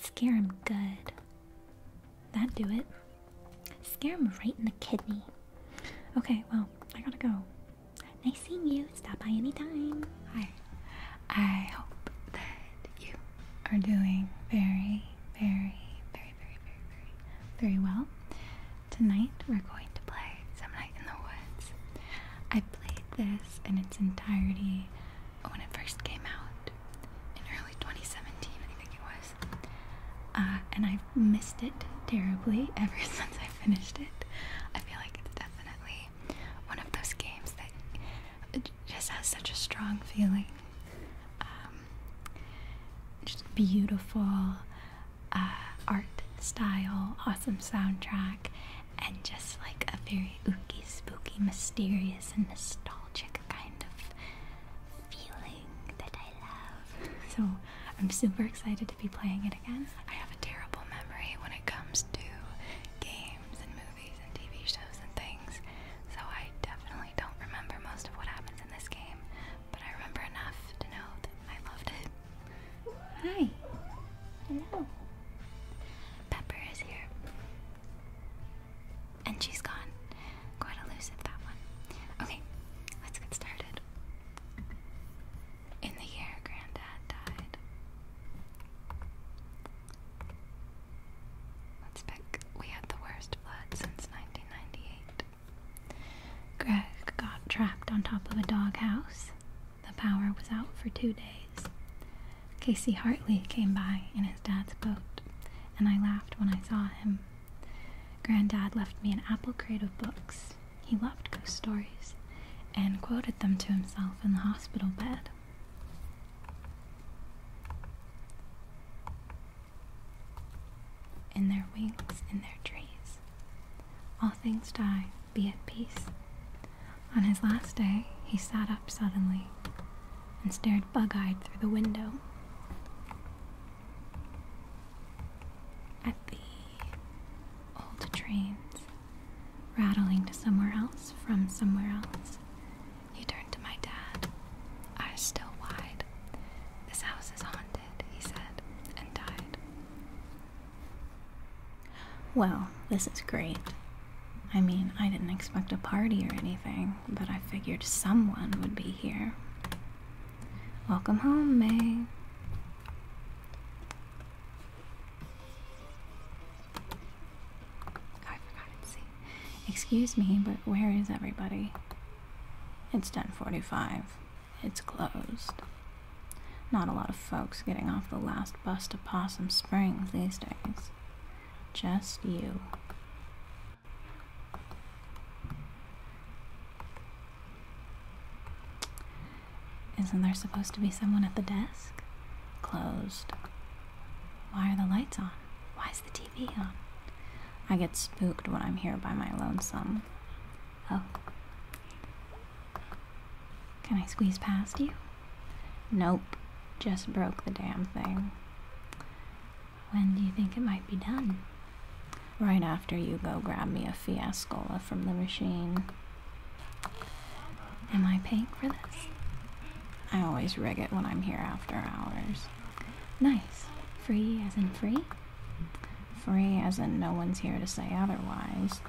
Scare him good. That do it. Scare him right in the kidney. Okay, well, I gotta go. Nice seeing you. Stop by anytime. Hi. I hope that you are doing very, very, very, very, very, very, very well. Tonight we're going to play Some Night in the Woods. I played this in its entirety when it first came out in early 2017, I think it was. Uh, and I've missed it terribly ever since I finished it. I feel like it's definitely one of those games that just has such a strong feeling. Um, just beautiful uh, art style, awesome soundtrack, and just like a very ooky, spooky, mysterious, and nostalgic kind of feeling that I love. So I'm super excited to be playing it again. I have a terrible memory when it comes to games and movies and TV shows and things, so I definitely don't remember most of what happens in this game, but I remember enough to know that I loved it. Hi. Hello. Pepper is here. And she's gone. Quite elusive, that one. Okay, let's get started. In the year Granddad died. Let's pick. We had the worst flood since 1998. Greg got trapped on top of a doghouse. The power was out for two days. Casey Hartley came by in his dad's boat, and I laughed when I saw him. Granddad left me an apple crate of books. He loved ghost stories and quoted them to himself in the hospital bed. In their wings, in their trees. All things die, be at peace. On his last day, he sat up suddenly and stared bug eyed through the window. At the old trains rattling to somewhere else from somewhere else, he turned to my dad, eyes still wide. This house is haunted, he said, and died. Well, this is great. I mean, I didn't expect a party or anything, but I figured someone would be here. Welcome home, May. Oh, I forgot see. Excuse me, but where is everybody? It's 10:45. It's closed. Not a lot of folks getting off the last bus to Possum Springs these days. Just you. Isn't there supposed to be someone at the desk? Closed. Why are the lights on? Why is the TV on? I get spooked when I'm here by my lonesome. Oh. Can I squeeze past you? Nope, just broke the damn thing. When do you think it might be done? Right after you go grab me a fiascola from the machine. Am I paying for this? I always rig it when I'm here after hours. Nice. Free as in free? Free as in no one's here to say otherwise.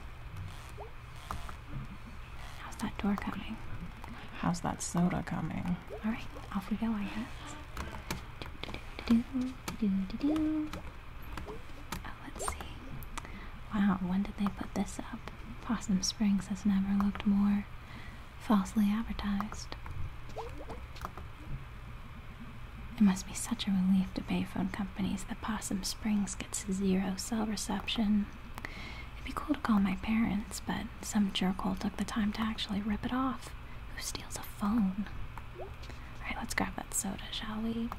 How's that door coming? How's that soda coming? Alright, off we go, I guess. Oh, let's see. Wow, when did they put this up? Possum Springs has never looked more falsely advertised. It must be such a relief to payphone companies that Possum Springs gets zero cell reception. It'd be cool to call my parents, but some jerkhole took the time to actually rip it off. Who steals a phone? Alright, let's grab that soda, shall we?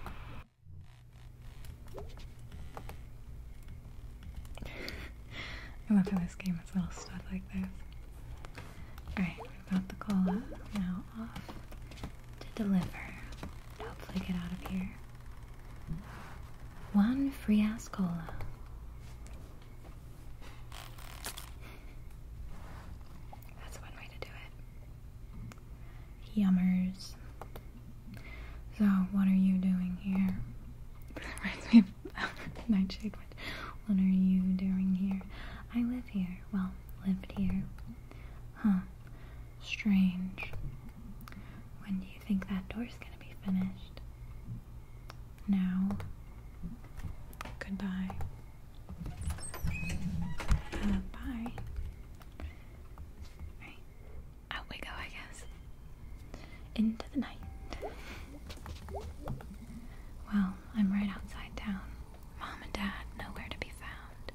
I love how this game has little stuff like this. Alright, we got the cola. Now off to deliver. Hopefully get out of here. One free ass cola. Yummers. So, what are you doing here? Nightshade What are you doing here? I live here. Well, lived here. Huh. Strange. When do you think that door's gonna be finished? Now, goodbye. Uh, bye. out we go, I guess. Into the night. Well, I'm right outside town. Mom and Dad nowhere to be found.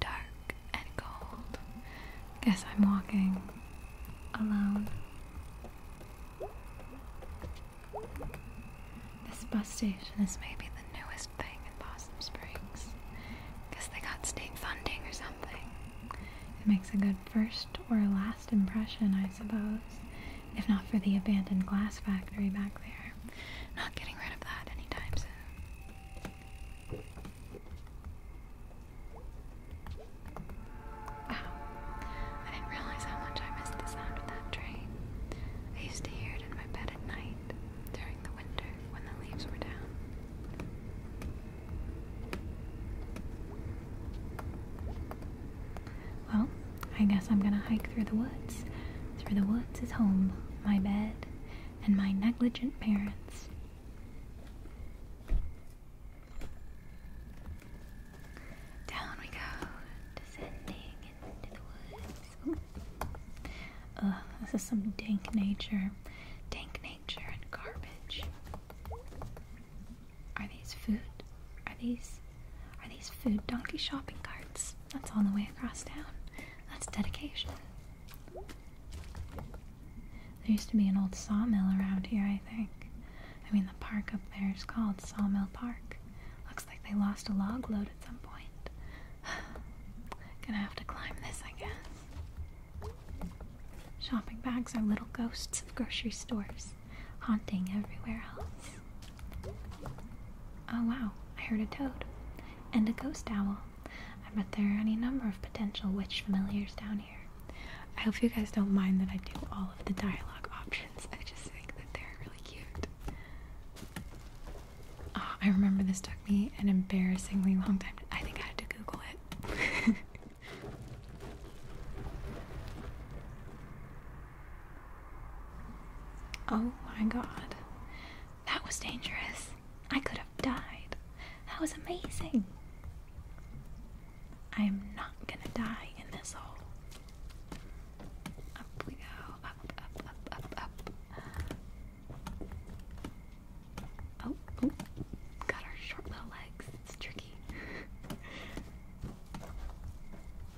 Dark and cold. Guess I'm walking alone. This bus station is maybe the newest thing in Possum Springs. Guess they got state funding or something. It makes a good first or last impression, I suppose. If not for the abandoned glass factory back there. Not getting rid of that anytime soon. Wow, I didn't realize how much I missed the sound of that train. I used to hear it in my bed at night during the winter when the leaves were down. Well, I guess I'm gonna hike through the woods. Through the woods is home, my bed, and my negligent parents. Down we go, descending into the woods. Ugh, this is some dank nature. Dank nature and garbage. Are these food? Are these are these food donkey shopping carts? That's on the way across town. That's dedication. There used to be an old sawmill around here, I think. I mean, the park up there is called Sawmill Park. Looks like they lost a log load at some point. Gonna have to climb this, I guess. Shopping bags are little ghosts of grocery stores, haunting everywhere else. Oh wow, I heard a toad. And a ghost owl. I bet there are any number of potential witch familiars down here. I hope you guys don't mind that I do all of the dialogue options. I just think that they're really cute. Oh, I remember this took me an embarrassingly long time. I think I had to Google it. oh my god. That was dangerous. I could have died. That was amazing. I'm not gonna die in this hole. Up we go. Up, up, up, up, up. Oh, oh. got our short little legs. It's tricky.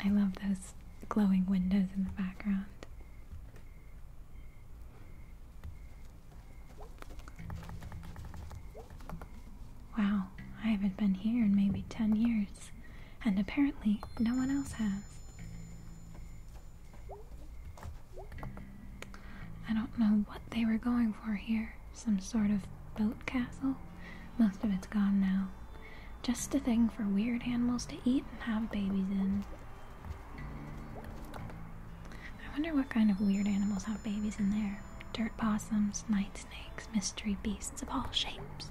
I love those glowing windows in the background. Wow, I haven't been here in maybe 10 years, and apparently no one else has. I don't know what they were going for here. Some sort of boat castle? Most of it's gone now. Just a thing for weird animals to eat and have babies in. I wonder what kind of weird animals have babies in there. Dirt possums, night snakes, mystery beasts of all shapes.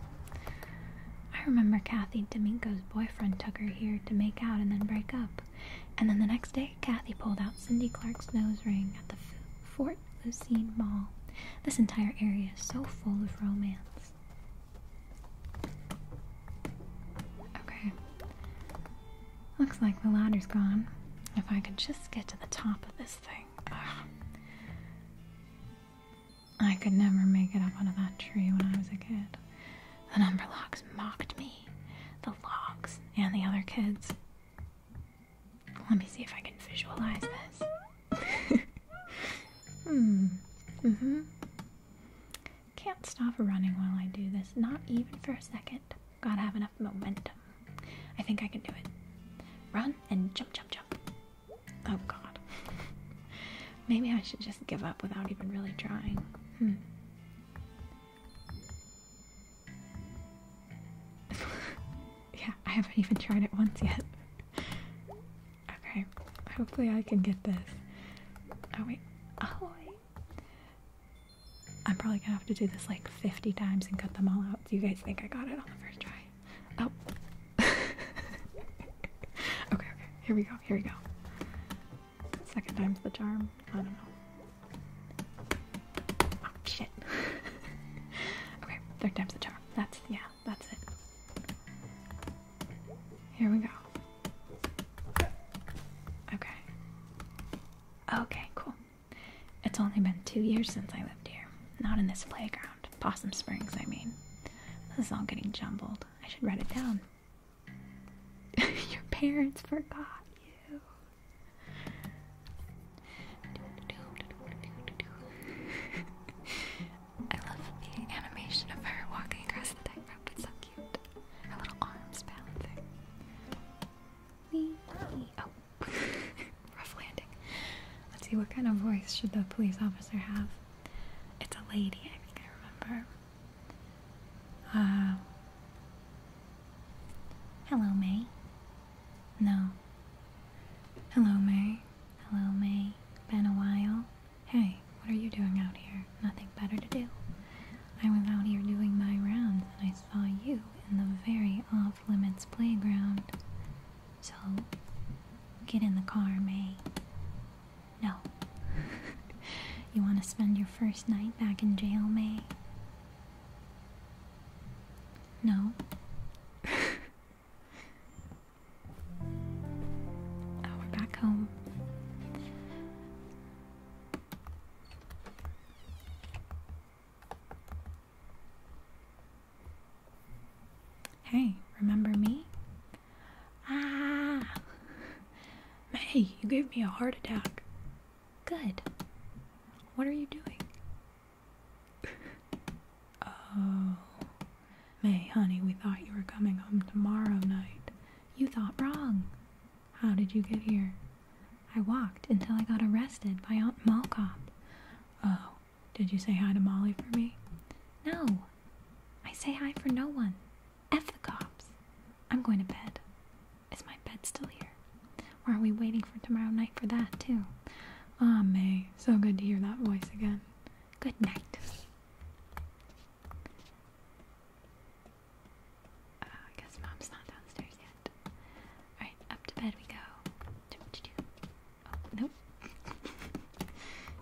I remember Kathy D'Amico's boyfriend took her here to make out and then break up. And then the next day, Kathy pulled out Cindy Clark's nose ring at the Fort Lucine Mall. This entire area is so full of romance. Okay. Looks like the ladder's gone. If I could just get to the top of this thing. I could never make it up onto that tree when I was a kid. The number locks mocked me. The logs and the other kids. Let me see if I can visualize this. hmm. Mm-hmm. Can't stop running while I do this. Not even for a second. Gotta have enough momentum. I think I can do it. Run and jump, jump, jump. Oh god. Maybe I should just give up without even really trying. Hmm. yeah, I haven't even tried it once yet. okay, hopefully I can get this. Oh wait. Oh wait. I'm probably gonna have to do this like 50 times and cut them all out. Do you guys think I got it on the first try? Oh. okay, okay. Here we go. Here we go. Second time's the charm. I don't know. Oh, shit. okay, third time's the charm. That's, yeah, that's it. Here we go. Okay. Okay, cool. It's only been two years since I lived here. Not in this playground. Possum Springs, I mean. This is all getting jumbled. I should write it down. Your parents forgot you. I love the animation of her walking across the tightrope. It's so cute. Her little arms balancing. Wee, Oh, Rough landing. Let's see, what kind of voice should the police officer have? It's a lady, I think I remember. Uh, hello, May. No. Hello, May. Hello, May. Been a while. Hey, what are you doing out here? Nothing better to do. I was out here doing my rounds and I saw you in the very off limits playground. So, get in the car, May. No. you want to spend your first night back in jail, May? No. oh, we're back home. Hey, remember me? Ah! May, you gave me a heart attack. Good. What are you doing? oh. May, honey, we thought you were coming home tomorrow night. You thought wrong. How did you get here? I walked until I got arrested by Aunt Malkop. Oh, did you say hi to Molly for me? No. I say hi for no one. F the cops. I'm going to bed. Is my bed still here? Or are we waiting for tomorrow night for that, too? Ah, May. So good to hear that voice again. Good night. Uh, I guess mom's not downstairs yet. Alright, up to bed we go. Oh, nope.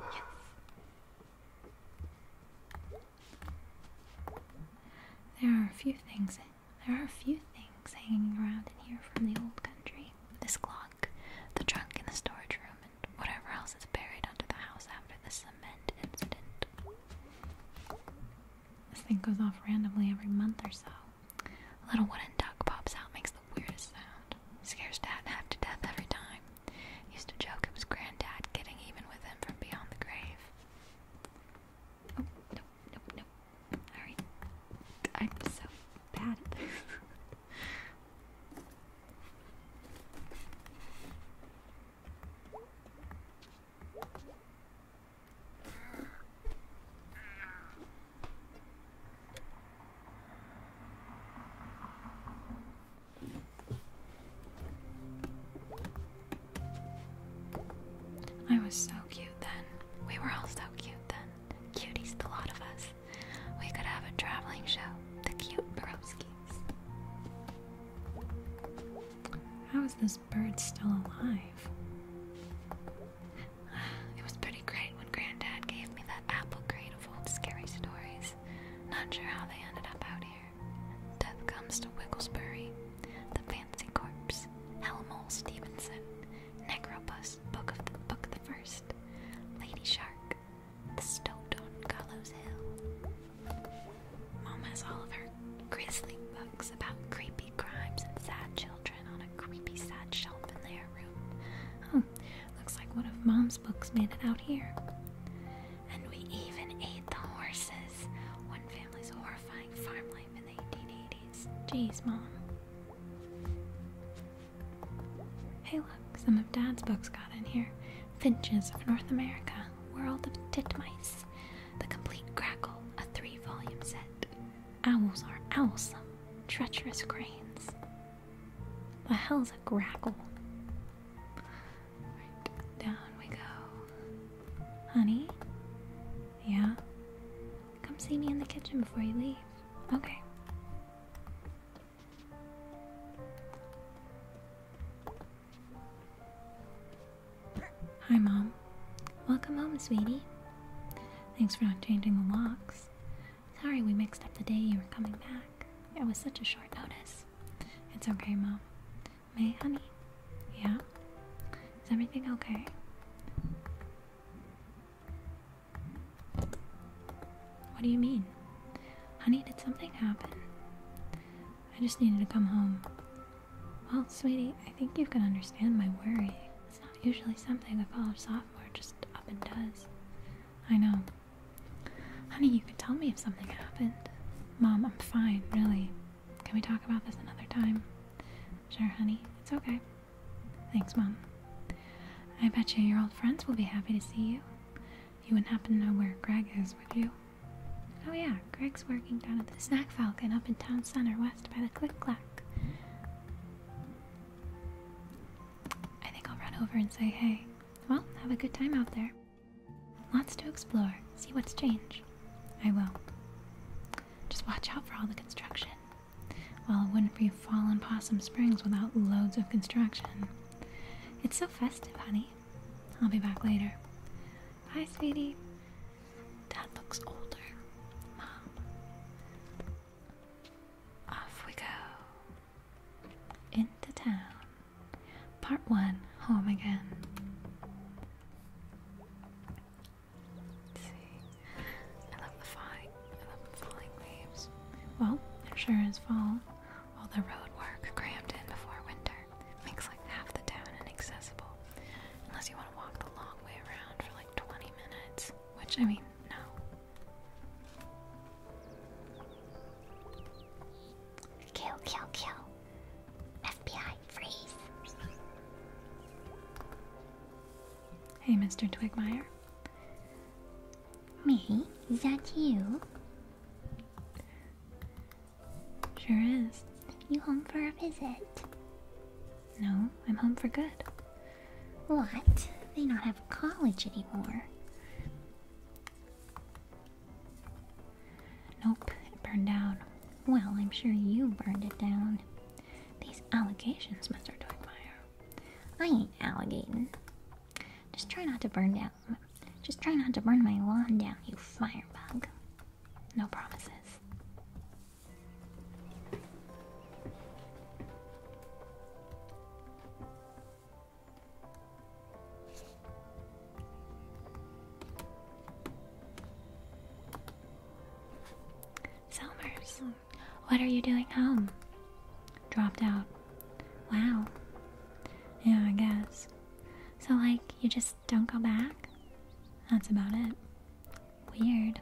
yes. There are a few things. There are a few things hanging around in here from the old country. This clock, the trunk in the storage room, and whatever else is buried under the house after the cement incident. This thing goes off randomly every month or so little wooden duck pops out, makes the weirdest sound. Scares Dad half to death every time. Used to joke it was Granddad getting even with him from beyond the grave. Oh, no, no, no. Alright. I'm so bad I was so cute then. We were all so cute then. Cuties, the lot of us. We could have a traveling show. The cute broskies. How is this bird still alive? It was pretty great when Granddad gave me that apple crate of old scary stories. Not sure how they ended up out here. Death comes to Wigglesbury, The Fancy Corpse, Helmol Stevenson, Necropus, Book of the Book the First, Lady Shark, The Stoat on Gallows Hill. Mom has all of her grisly books about creepy crimes and sad children on a creepy, sad shelf in their room. Huh, looks like one of Mom's books made it out here. And we even ate the horses. One family's horrifying farm life in the 1880s. Jeez, Mom. Hey, look, some of Dad's books got in here. Finches of North America, World of Titmice, The Complete Crackle, a three volume set. Owls are owlsome, treacherous cranes. The hell's a grackle? down we go. Honey? Yeah? Come see me in the kitchen before you leave. Okay. Hi, Mom. Welcome home, sweetie. Thanks for not changing the locks. Sorry we mixed up the day you were coming back. It was such a short notice. It's okay, Mom. May, honey? Yeah? Is everything okay? What do you mean? Honey, did something happen? I just needed to come home. Well, sweetie, I think you can understand my worry. It's not usually something a college sophomore software just up and does. I know. Honey, you could tell me if something happened. Mom, I'm fine, really. Can we talk about this another time? Sure, honey. It's okay. Thanks, Mom. I bet you your old friends will be happy to see you. You wouldn't happen to know where Greg is, would you? Oh, yeah, Greg's working down at the Snack Falcon up in town center west by the Click Clack. I think I'll run over and say hey. Well, have a good time out there. Lots to explore, see what's changed. I will. Just watch out for all the construction. Well, it wouldn't be Fallen Possum Springs without loads of construction. It's so festive, honey. I'll be back later. Bye, sweetie. Dad looks older. Mom. Off we go. Into town. Part 1 Home again. see. I love the falling, I love the falling leaves. Well, insurance fall. All the road work crammed in before winter makes like half the town inaccessible. Unless you want to walk the long way around for like 20 minutes. Which, I mean, no. Kill, kill, kill. FBI, freeze. Hey, Mr. Twigmire. Me? is that you? Sure is. You home for a visit? No, I'm home for good. What? They do not have college anymore. Nope, it burned down. Well, I'm sure you burned it down. These allegations, Mr. Twigmire. I ain't alligating. Just try not to burn down. Just try not to burn my lawn down, you firebug. No promises. Selmers, what are you doing home? Dropped out. Wow. Yeah, I guess. So, like, you just don't go back? That's about it. Weird.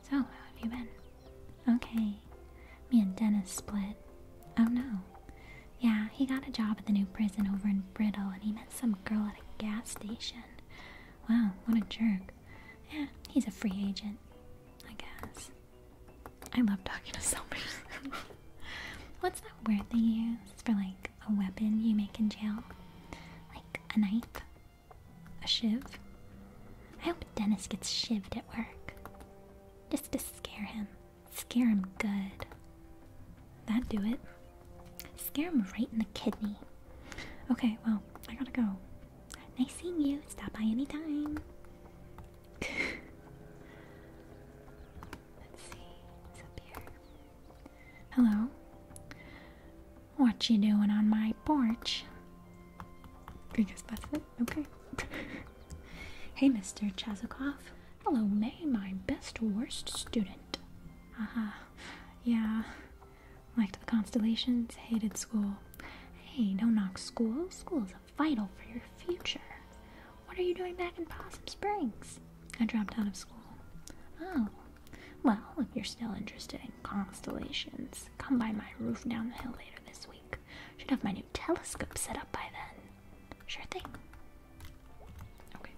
So, how have you been? Okay. Me and Dennis split. Oh no. Yeah, he got a job at the new prison over in Brittle and he met some girl at a gas station. Wow, what a jerk. Yeah, he's a free agent, I guess. I love talking to somebody. What's that word they use for like a weapon you make in jail? Like a knife? A shiv? I hope Dennis gets shivved at work. Just to scare him. Scare him good. That'd do it. Scare him right in the kidney. Okay, well, I gotta go. Nice seeing you. Stop by anytime. Let's see. Hello. What you doing on my porch? Because that's it. Okay. hey, Mr. Chazikov. Hello, May, my best worst student. Aha. Uh -huh. Yeah. Liked the constellations, hated school. Hey, don't knock school. School is vital for your future. What are you doing back in Possum Springs? I dropped out of school. Oh. Well, if you're still interested in constellations, come by my roof down the hill later this week. Should have my new telescope set up by then. Sure thing. Okay.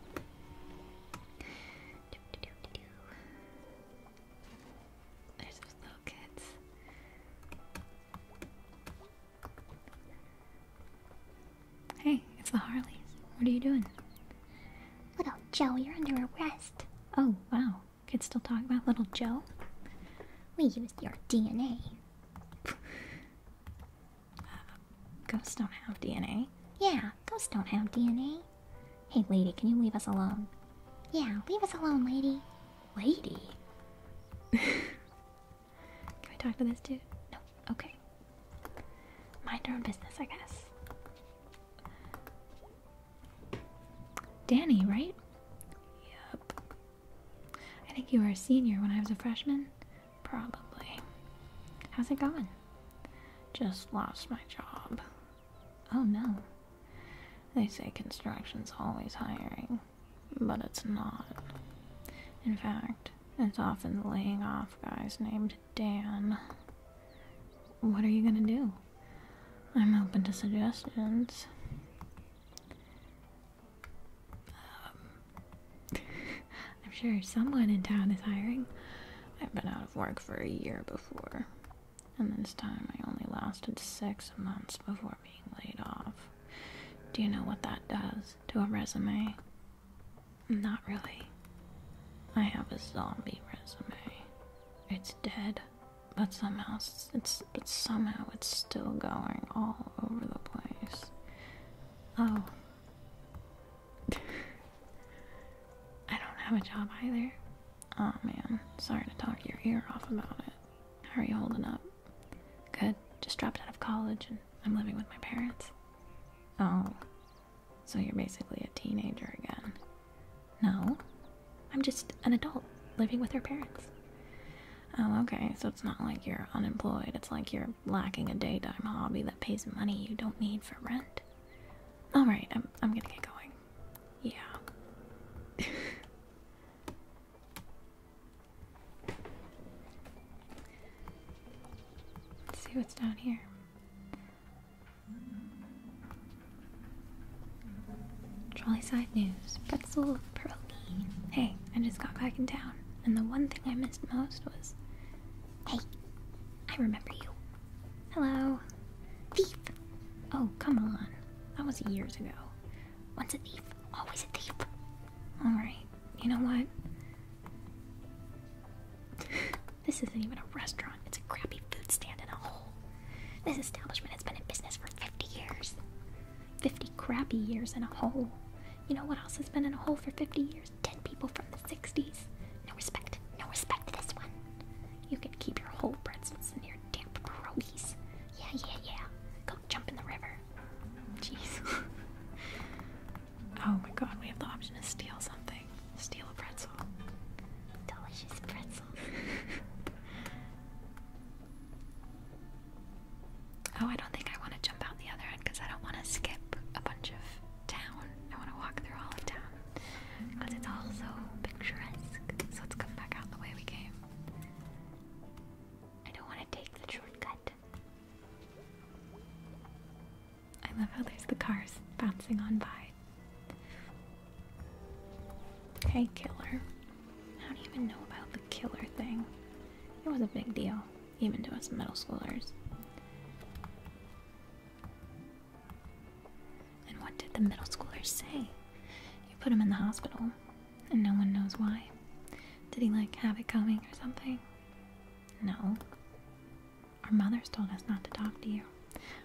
There's those little kids. Hey, it's the Harleys. What are you doing? Little Joe, you're under arrest. Oh, wow could still talk about little Joe. We used your DNA. ghosts don't have DNA. Yeah, ghosts don't have DNA. Hey, lady, can you leave us alone? Yeah, leave us alone, lady. Lady? can we talk to this dude? No. Okay. Mind your own business, I guess. Danny, right? Yep. I think you were a senior when I was a freshman? Probably. How's it going? Just lost my job. Oh no. They say construction's always hiring, but it's not. In fact, it's often laying off guys named Dan what are you gonna do? I'm open to suggestions. Um, I'm sure someone in town is hiring. I've been out of work for a year before, and this time I only lasted six months before being laid off. Do you know what that does to a resume? Not really. I have a zombie resume. It's dead. But somehow it's, but somehow it's still going all over the place. Oh. I don't have a job either. Oh man, sorry to talk your ear off about it. How are you holding up? Good. Just dropped out of college and I'm living with my parents. Oh. So you're basically a teenager again. No, I'm just an adult living with her parents. Oh, okay, so it's not like you're unemployed, it's like you're lacking a daytime hobby that pays money you don't need for rent. Alright, I'm, I'm gonna get going. Yeah. Let's see what's down here. Trolley Side News, Pretzel Pierogi. Hey, I just got back in town, and the one thing I missed most was. Hey, I remember you. Hello. Thief! Oh, come on. That was years ago. Once a thief, always a thief. Alright, you know what? this isn't even a restaurant, it's a crappy food stand in a hole. This establishment has been in business for 50 years. 50 crappy years in a hole. You know what else has been in a hole for 50 years? 10 people from the 60s. No respect. No respect to this one. You can keep your whole pretzels and your damp pierogies. Yeah, yeah, yeah. Go jump in the river. Jeez. oh my god, we have the option to steal something. Steal a pretzel. Delicious pretzel oh, I don't think I want to jump out the other end because I don't want to skip a bunch of town. I want to walk through all of town because it's all so picturesque. So let's come back out the way we came. I don't want to take the shortcut. I love how there's the cars bouncing on by. Hey, killer. How do you even know about the killer thing? It was a big deal, even to us middle schoolers. And what did the middle schoolers say? You put him in the hospital, and no one knows why. Did he, like, have it coming or something? No. Our mothers told us not to talk to you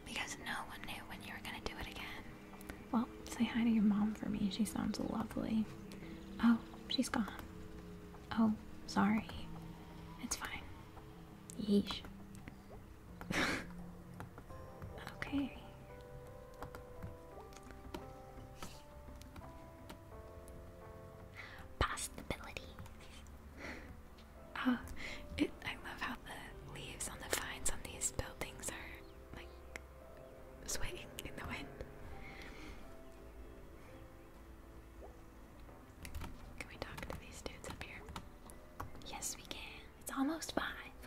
because no one knew when you were gonna do it again. Well, say hi to your mom for me. She sounds lovely. Oh, she's gone. Oh, sorry. It's fine. Yeesh. okay. Possibility. Oh, uh, it, I love how the leaves on the vines on these buildings are like sweating in the wind. Can we talk to these dudes up here? Yes, we can. It's almost five.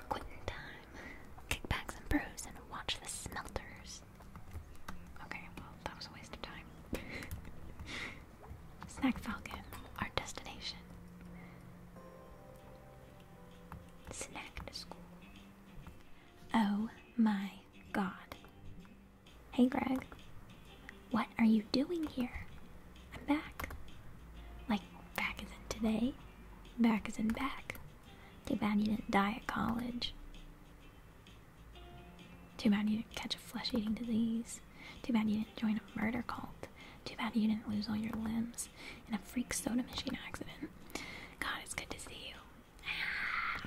Quitting time. Kick back some and watch the smelters. Okay, well, that was a waste of time. Snack Falcon, our destination. Snack to school. Oh my god. Hey, Greg. What are you doing here? I'm back. Like, back as in today, back as in back. Too bad you didn't die at college. Too bad you didn't catch a flesh eating disease. Too bad you didn't join a murder cult. Too bad you didn't lose all your limbs in a freak soda machine accident. God, it's good to see you. Ah.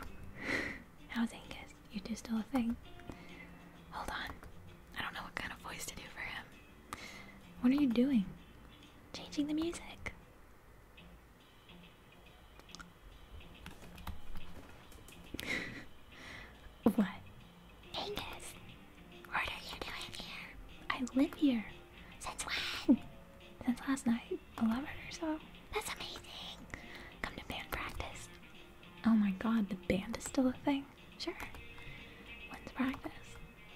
How's Angus? You two still a thing? Hold on. I don't know what kind of voice to do for him. What are you doing? Changing the music. what? Angus, what are you doing here? I live here. Since when? Since last night, 11 or so. That's amazing. Come to band practice. Oh my god, the band is still a thing? Sure. When's practice?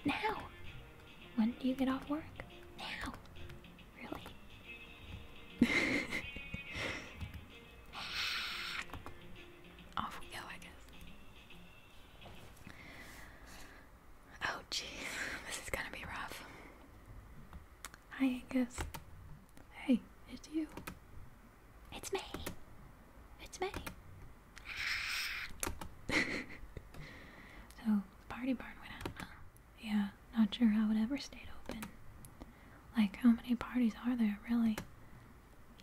Now. When do you get off work? Now. Really? Off we go, I guess. Oh, geez, this is gonna be rough. Hi, Angus. Hey, it's you. It's me. It's me. so, the party barn went out, Yeah, not sure how it ever stayed open. Like, how many parties are there, really?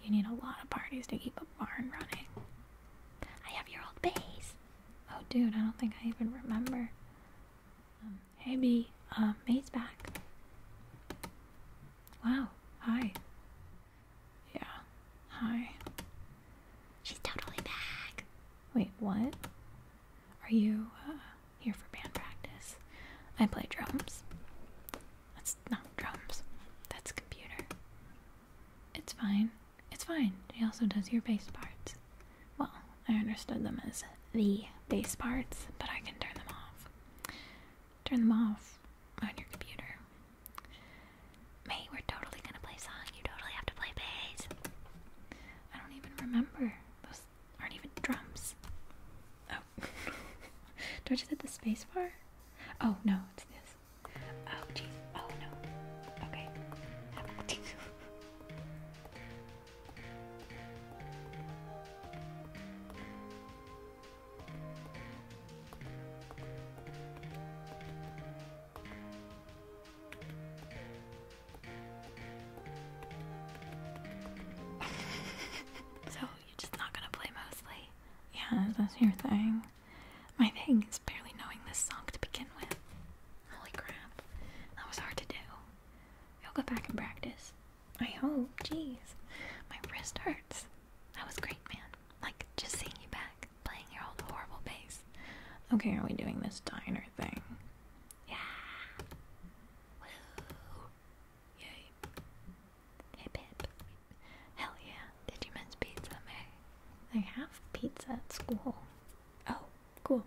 You need a lot of parties to keep a barn running. I have your old base. Oh, dude, I don't think I even remember. Maybe, um, hey, uh, May's back. Wow. Hi. Yeah. Hi. She's totally back. Wait, what? Are you uh, here for band practice? I play drums. That's not drums. That's computer. It's fine. It's fine. He also does your bass parts. Well, I understood them as the bass parts, but I can turn them off. Turn them off on your computer. Mate, we're totally gonna play song. You totally have to play bass. I don't even remember. Those aren't even drums. Oh. Do I just hit the space bar? Oh, no, it's this. Oh, jeez. Oh, no. so, you're just not gonna play mostly? Yeah, that's your thing. My thing is barely knowing this song to begin with. Holy crap. That was hard to do. we will go back and practice. I hope. Jeez. My wrist hurts. That was great, man. Like, just seeing you back, playing your old horrible bass. Okay, are we doing this diner thing? Yeah. Woo. Yay. Hip hip. Hell yeah. Did you mince pizza, May? I have pizza at school. Oh, cool.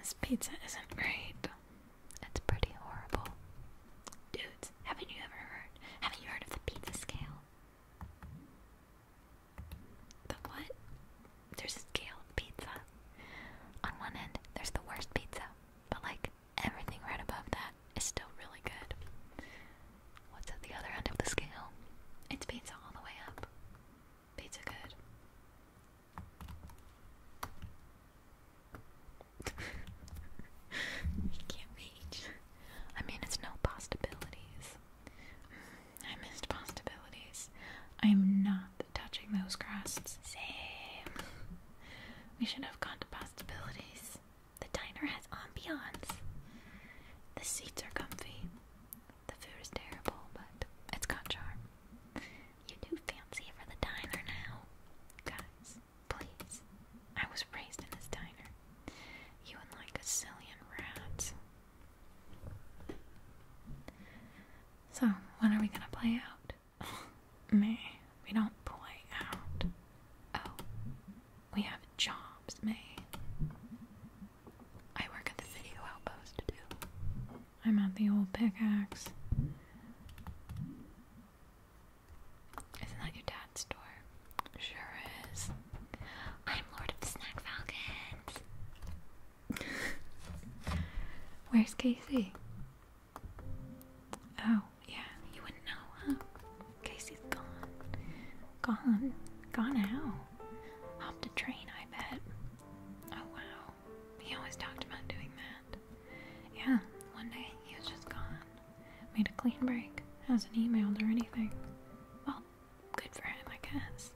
This pizza isn't great. It's pretty horrible. Dudes, haven't you ever heard? Haven't you heard of the pizza scale? The what? there's a scale pizza. On one end, there's the worst pizza, but like everything right above that is still really good. What's at the other end of the scale? It's pizza all the way up. Pizza good. you can't reach. I mean, it's no possibilities. Mm, I missed possibilities. I am not touching those crusts. Same. We should have gone to possibilities. The diner has ambiance. The seats are comfy. The food is terrible, but it's got charm. You do fancy for the diner now. Guys, please. I was raised in this diner. You and like a zillion rat. So, when are we gonna play out? May, we don't play out. Oh, we have jobs, May. I work at the video outpost too. I'm at the old pickaxe. Isn't that your dad's store? Sure is. I'm Lord of the Snack Falcons. Where's Casey? Oh, yeah, you wouldn't know, huh? Casey's gone. Gone? Gone how? Hopped a train, I bet. Oh, wow. He always talked about doing that. Yeah, one day he was just gone. Made a clean break. Hasn't emailed or anything. Well, good for him, I guess.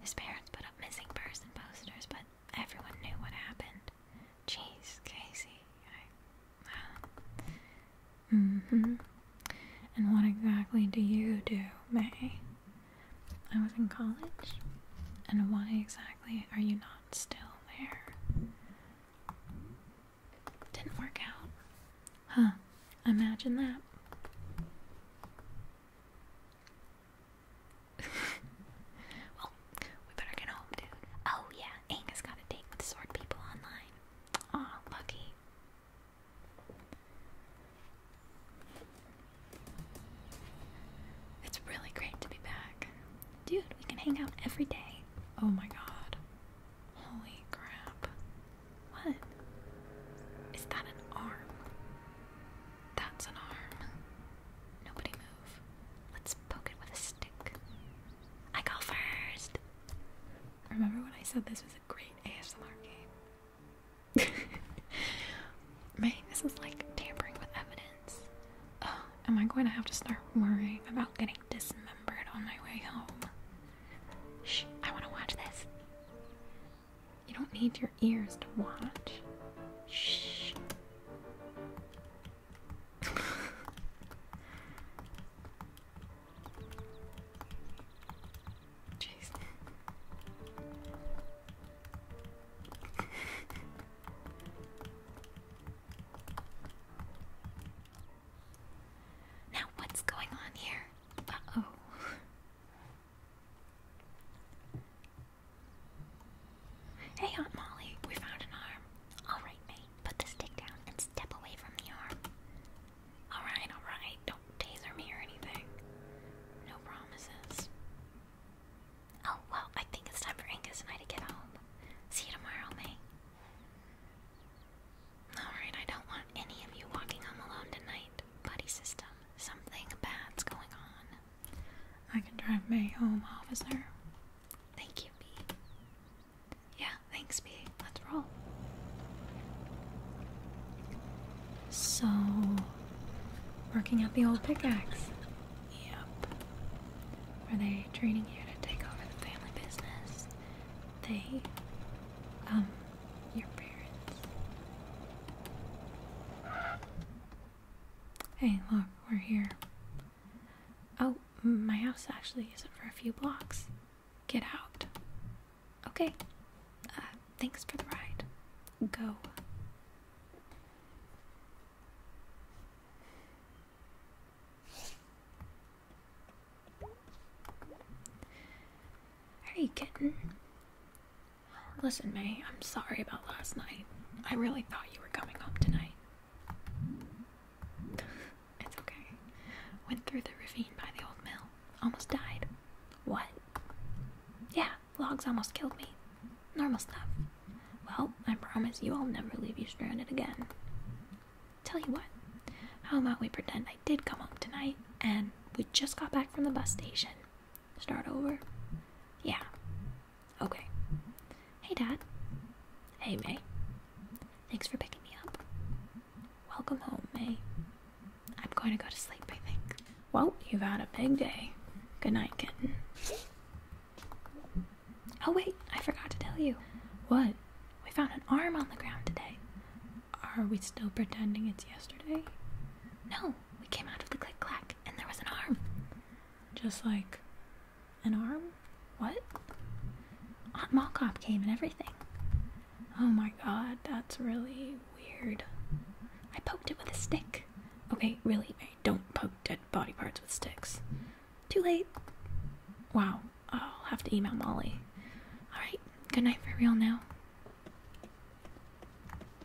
His parents put up missing person posters, but everyone knew what happened. Jeez, Casey, hmm And what exactly do you do, May? I was in college. And why exactly are you not still there? Didn't work out. Huh, imagine that. well, we better get home, dude. Oh, yeah, Angus got a date with sword people online. Aw, lucky. It's really great to be back. Dude, we can hang out every day. Oh my god. Holy crap. What? Is that an arm? That's an arm. Nobody move. Let's poke it with a stick. I go first! Remember when I said this was a great ASMR game? Man, this is like tampering with evidence. Oh, am I going to have to start worrying about getting dismembered on my way home? Shh, I want to watch this. You don't need your ears to watch. Shh. Jeez. now, what's going on here? Uh oh. Hey, Aunt Molly, we found an arm. All right, mate, put the stick down and step away from the arm. All right, all right, don't taser me or anything. No promises. Oh, well, I think it's time for Angus and I to get home. See you tomorrow, May. Alright, I don't want any of you walking home alone tonight. Buddy system, something bad's going on. I can drive May home, officer. Thank you, B. Yeah, thanks, B. Let's roll. So, working at the old pickaxe. Yep. Were they training you to take over the family business? They, um, your parents. Hey, look, we're here. Oh, my house actually isn't for a few blocks. Get out. Okay. Uh, thanks for the ride. Go. Hey, kitten. Listen, May, I'm sorry about last night. I really thought you were coming home tonight. it's okay. Went through the ravine by the old mill. Almost died. What? Yeah, logs almost killed me. Normal stuff. Well, I promise you I'll never leave you stranded again. Tell you what, how about we pretend I did come home tonight and we just got back from the bus station Start over? Yeah. Okay. Hey, Dad. Hey, May. Thanks for picking me up. Welcome home, May. I'm going to go to sleep, I think. Well, you've had a big day. Good night, kitten. Oh, wait, I forgot to tell you. What? We found an arm on the ground today. Are we still pretending it's yesterday? No, we came out of the click clack and there was an arm. Just like an arm? What? Aunt Mallcop came and everything. Oh my god, that's really weird. I poked it with a stick. Okay, really, don't poke dead body parts with sticks. Too late. Wow, I'll have to email Molly. Alright, good night for real now.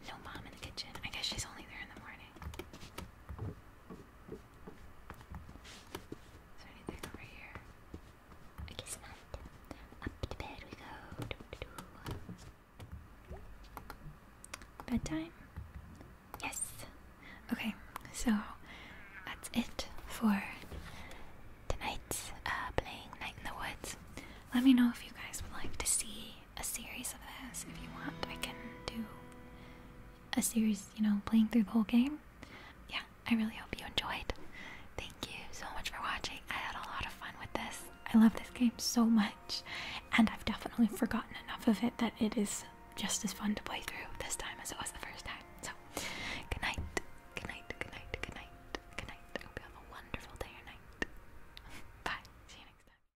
No mom in the kitchen. I guess she's only there in the morning. Is there anything over here? I guess not. Up to bed we go. Bedtime? Yes. Okay, so that's it for tonight's uh, playing Night in the Woods. Let me know if you guys would like to see a series of this if you want. I can do a series, you know, playing through the whole game. Yeah, I really hope you enjoyed. Thank you so much for watching. I had a lot of fun with this. I love this game so much, and I've definitely forgotten enough of it that it is just as fun to play through this time as it was the first time. So, good night, good night, good night, good night, good night. have a wonderful day or night. Bye. See you next time.